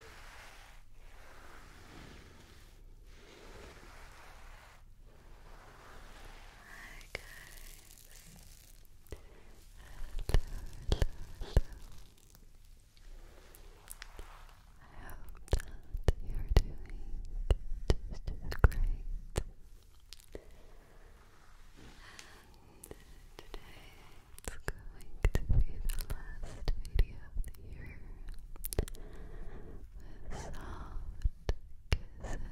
Hi guys. Hello, hello, hello. I hope that you're doing just as great. And today it's going to be the last video of the year soft kisses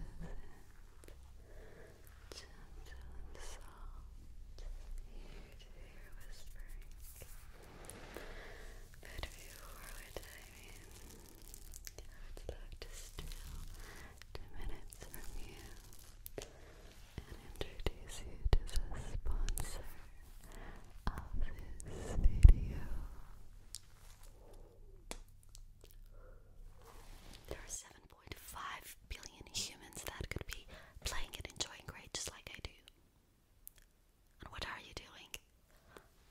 gentle and soft ear to ear whispering. But before we dive in, I would love to steal two minutes from you and introduce you to the sponsor of this video. There are 7.5 billion humans that could be playing and enjoying great just like I do. And what are you doing?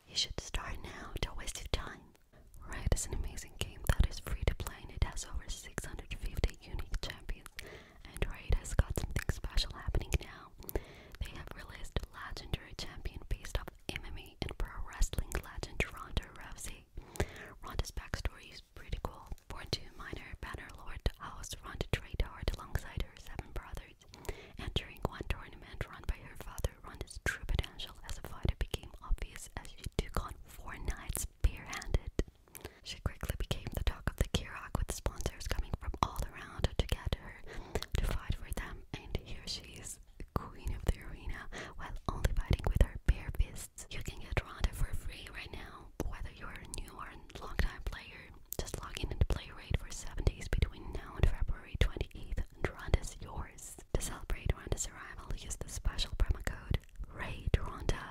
You should start now, don't waste your time. Riot is an amazing game that is free to play and it has over 650 unique champions Android has got something special happening now. They have released legendary champion based off MMA and pro wrestling legendary Ronda Rousey. Ronda's backstory is pretty cool. Born to minor banner lord house, Ronda trained hard alongside her seven brothers. During one tournament run by her father, Ronda's true potential as a fighter became obvious as she took on four knights barehanded. She quickly became the talk of the Kirak with sponsors coming from all around to get her to fight for them, and here she is, queen of the arena, while only fighting with her bare fists. You can get Ronda for free right now, whether you're a new or long-time player. Just log in and play raid for 7 days between now and February 28th, and Ronda's yours. To celebrate Ronda's arrival, use the special promo code RAID RONDA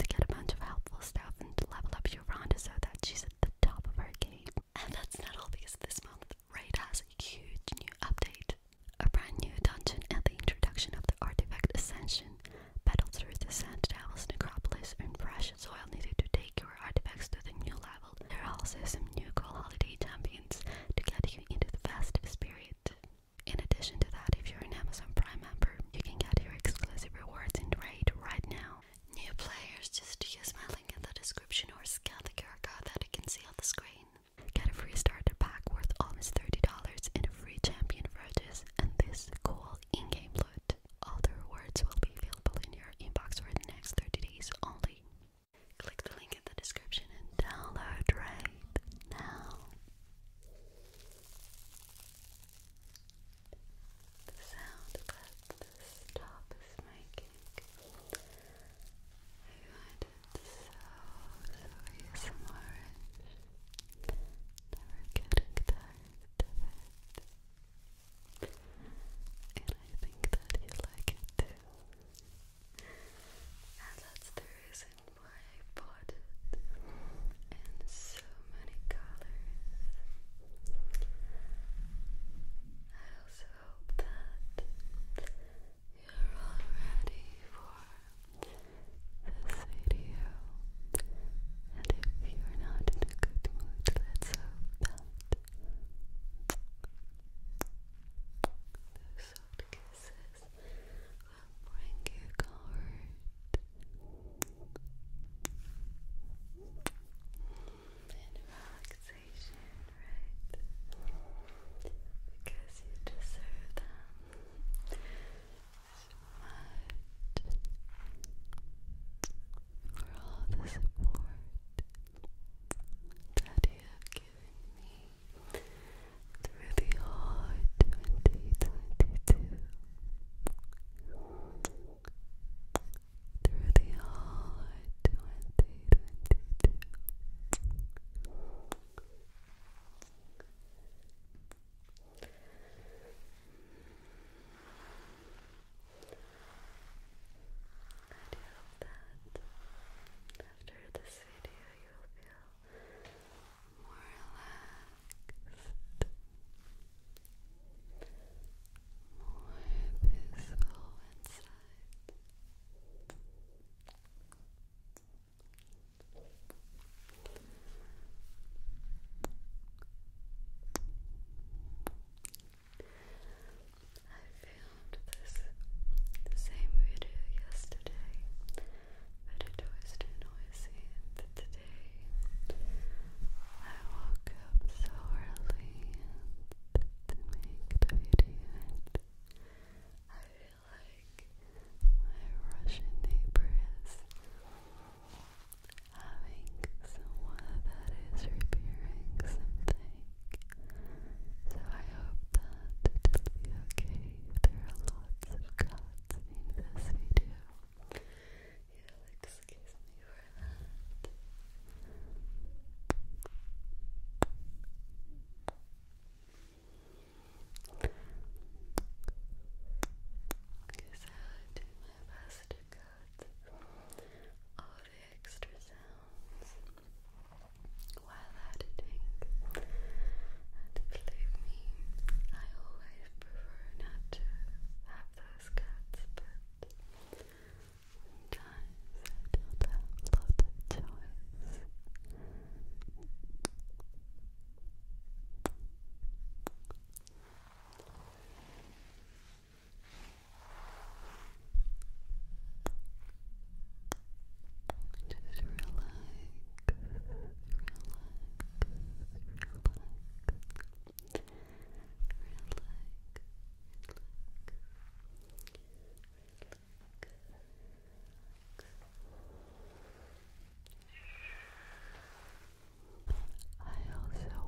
to get a bunch of helpful stuff and level up your Ronda so that she's at the top of her game. And that's not all because this month Raid has a huge new update. A brand new dungeon and the introduction of the artifact Ascension. Battle through the Sand Devil's Necropolis and Fresh soil needed to take your artifacts to the new level. There are also some new cool holiday champions to get you into the festive spirit. In addition to that, if you're an Amazon Prime member, you can get your exclusive rewards in Raid right now New players just use my link in the description or scan the QR code that you can see on the screen. Get a free starter pack worth almost $30 and free champion purchase and this cool in-game loot. All the rewards will be available in your inbox for the next 30 days only. Click the link in the description and download right now the sound that this top is making. I find it so, so ASMR never getting tired of it. And I think that you like it too. And that's the reason why I bought it so many colors. I also hope that you're all ready for this video. And if you're not in a good mood, let's hope that those soft kisses will bring you comfort and relaxation, right? Because you deserve them for all the support that you have given me through the whole 2022 through the whole 2022. I hope that after this video you will feel more relaxed more peaceful inside. I filmed this same video yesterday, but it was too is it today I woke up so early to make the video I feel like my Russian neighbor is having someone that is repairing something so I hope that it'll be okay. There are lots of cuts in this video you excuse me for that. Okay, so I do my best to cut all the extra sounds while editing. And believe me, I always prefer not to have have those cats, but sometimes I don't have a Just relax, relax, relax. I also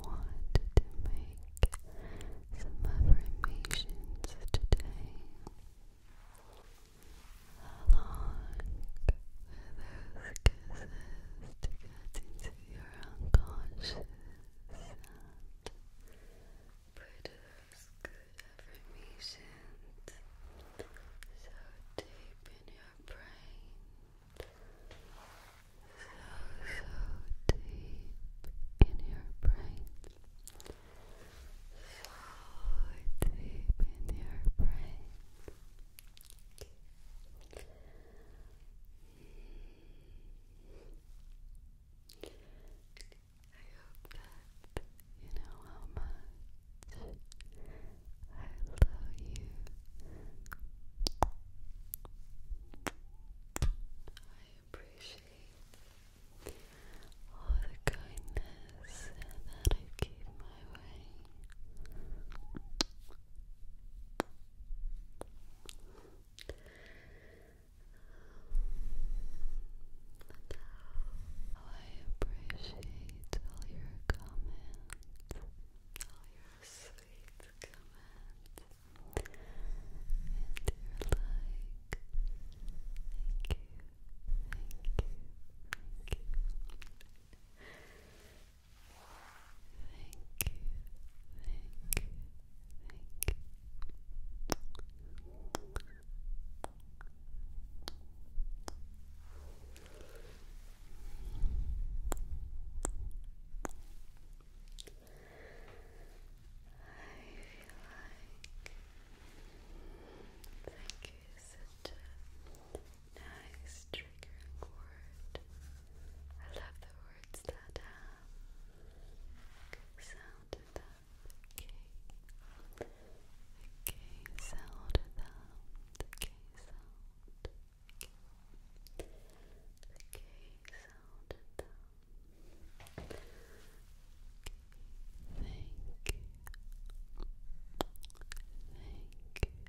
wanted to make some affirmations today. Along with those uses to get into your unconscious and produce good affirmations. So deep in your brain, so so deep in your brain, so Deep in your brain. I hope that you know how I love you. I appreciate all the kindness that you give my way. I appreciate all your comments, all your sweet comments, and your like. Thank you, thank you, thank you thank you, thank you, thank you. I feel like thank you is such Nice triggering word. I love the words that uh, have good sound The K. The K sound The K sound. The K, the K sound to them. Thank you.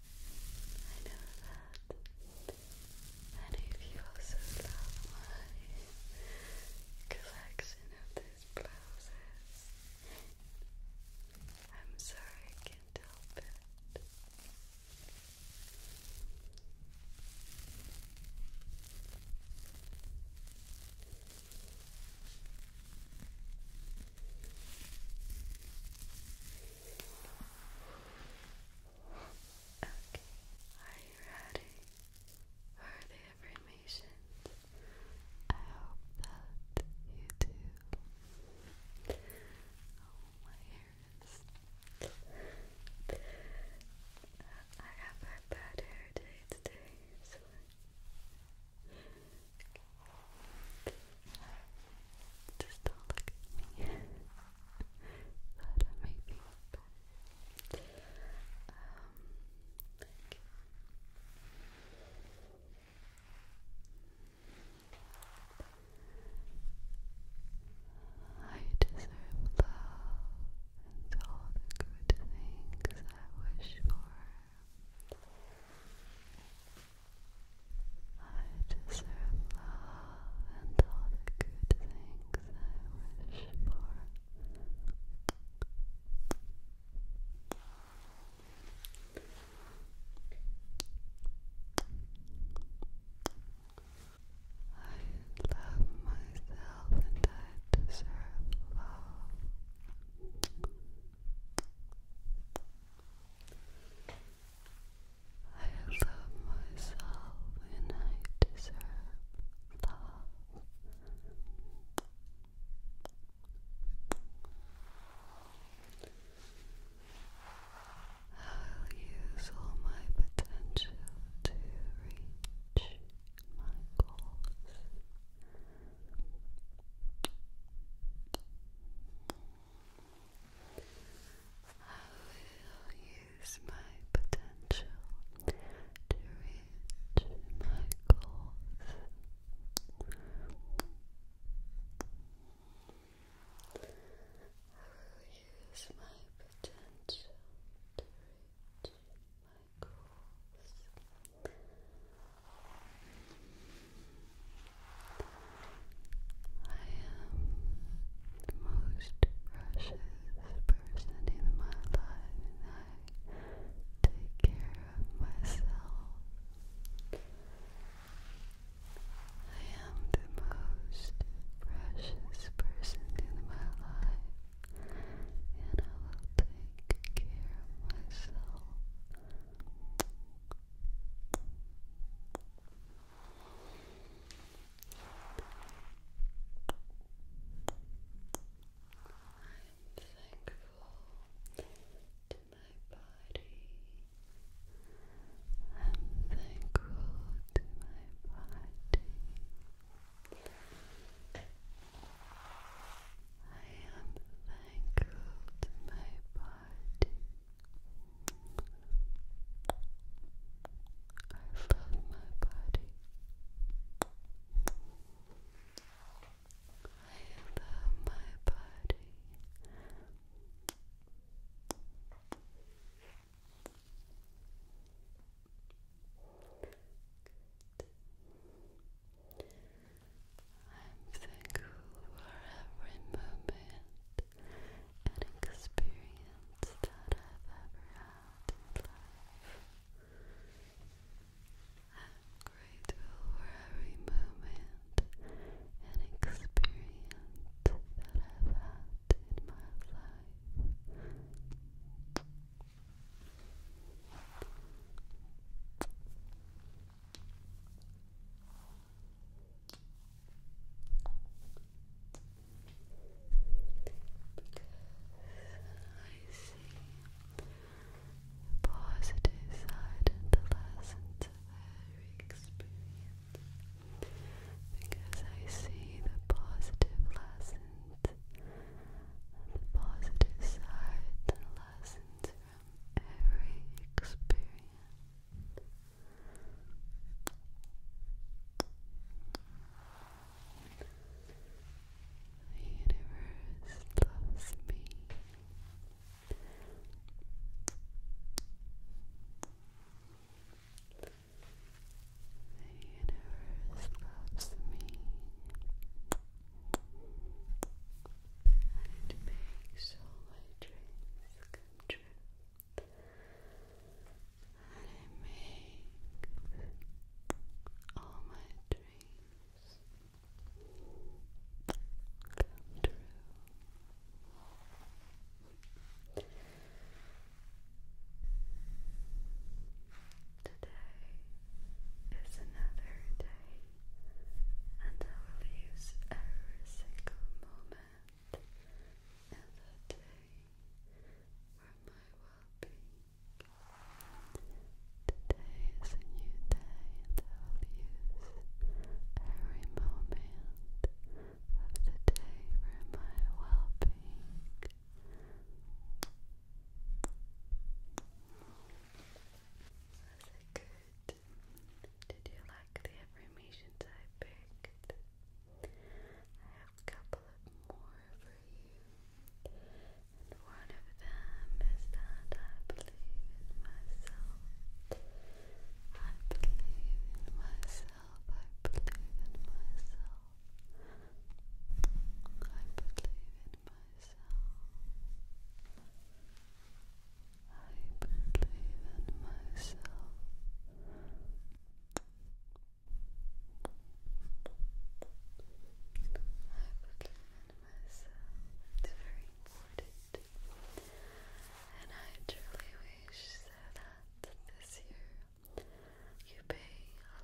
I know that. And if you also love my collection of these blouses, I'm sorry I can't help it. Okay, are you ready for the affirmations? I hope that you do. Oh, my ears. I have my bad hair day today, so. Just don't look at me. That'll make Um, I deserve love and all the good things I wish for. I deserve love and all the good things I wish for. I love myself and I deserve love. I love myself and I deserve love. I'll use all my potential to reach my goals. I will use my potential to reach my goals. I will use my potential to reach my goals. I will use my potential to reach my goals. I am the most precious person in my life, and I take care of myself. I am the most precious person in my life, and I will take care of myself to my body. I'm thankful to my body. I am thankful to my body love my body. I love my body. I'm thankful for every moment and experience that I've ever had in life. grateful for every moment and experience that I've had in my life. I see the positive side and the lessons of every experience. Because I see the positive lessons the positive side and lessons from every experience. The universe loves me. The universe loves me. And makes all my dreams come true and it makes all my dreams come true. Today is another day, and I will use every single moment another day for my well-being. Today is a new day and I will use every moment of the day for my well-being. That's a good did you like the affirmations I picked? I have a couple of more for you. And one of them is that I believe in myself. I believe in myself. I believe in myself. I believe in myself. I believe in myself. I believe in myself. It's very important. And I truly wish that this year you pay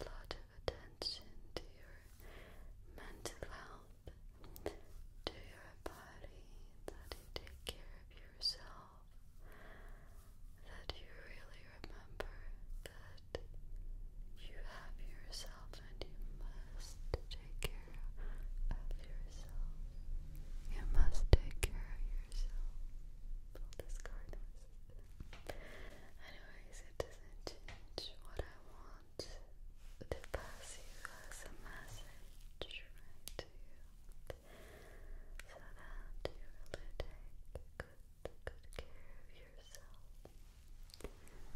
a lot of attention to your mental health, to your body, that you take care yourself that you really remember that you have yourself and you must take care of yourself. You must take care of yourself. Pull this Anyways, it doesn't change what I want to pass you as a message to you so that you really take good, good care of yourself. And yes,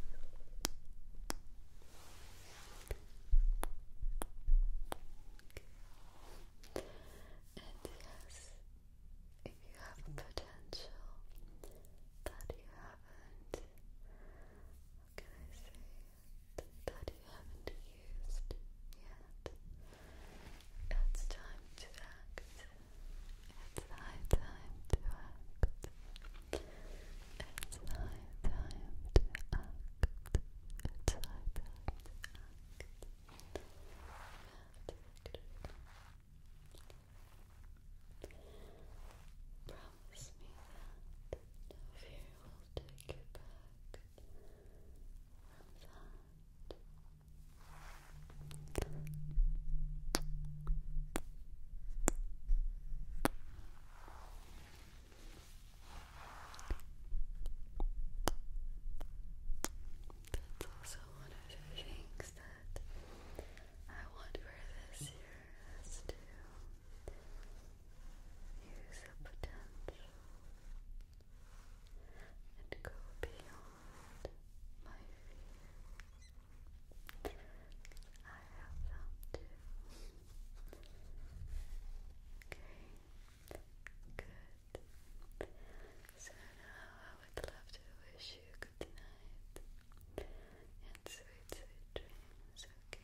if you have potential that you haven't, what can I say? that you haven't used yet. It's time to act. It's high time to act. It's high time to act. It's high time to act. Promise me that no fear will take you back. That's also one of the things that I want for this year is to Use your potential and go beyond my fears. I have them too. Okay, good. So now I would love to wish you good night and sweet, sweet dreams, okay?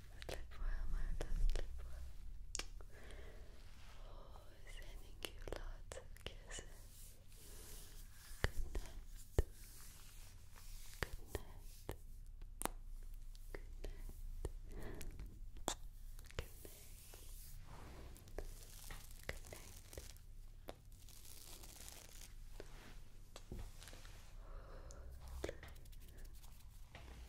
Sleep well, you Good night. Good night. Good night. Good night. Good night.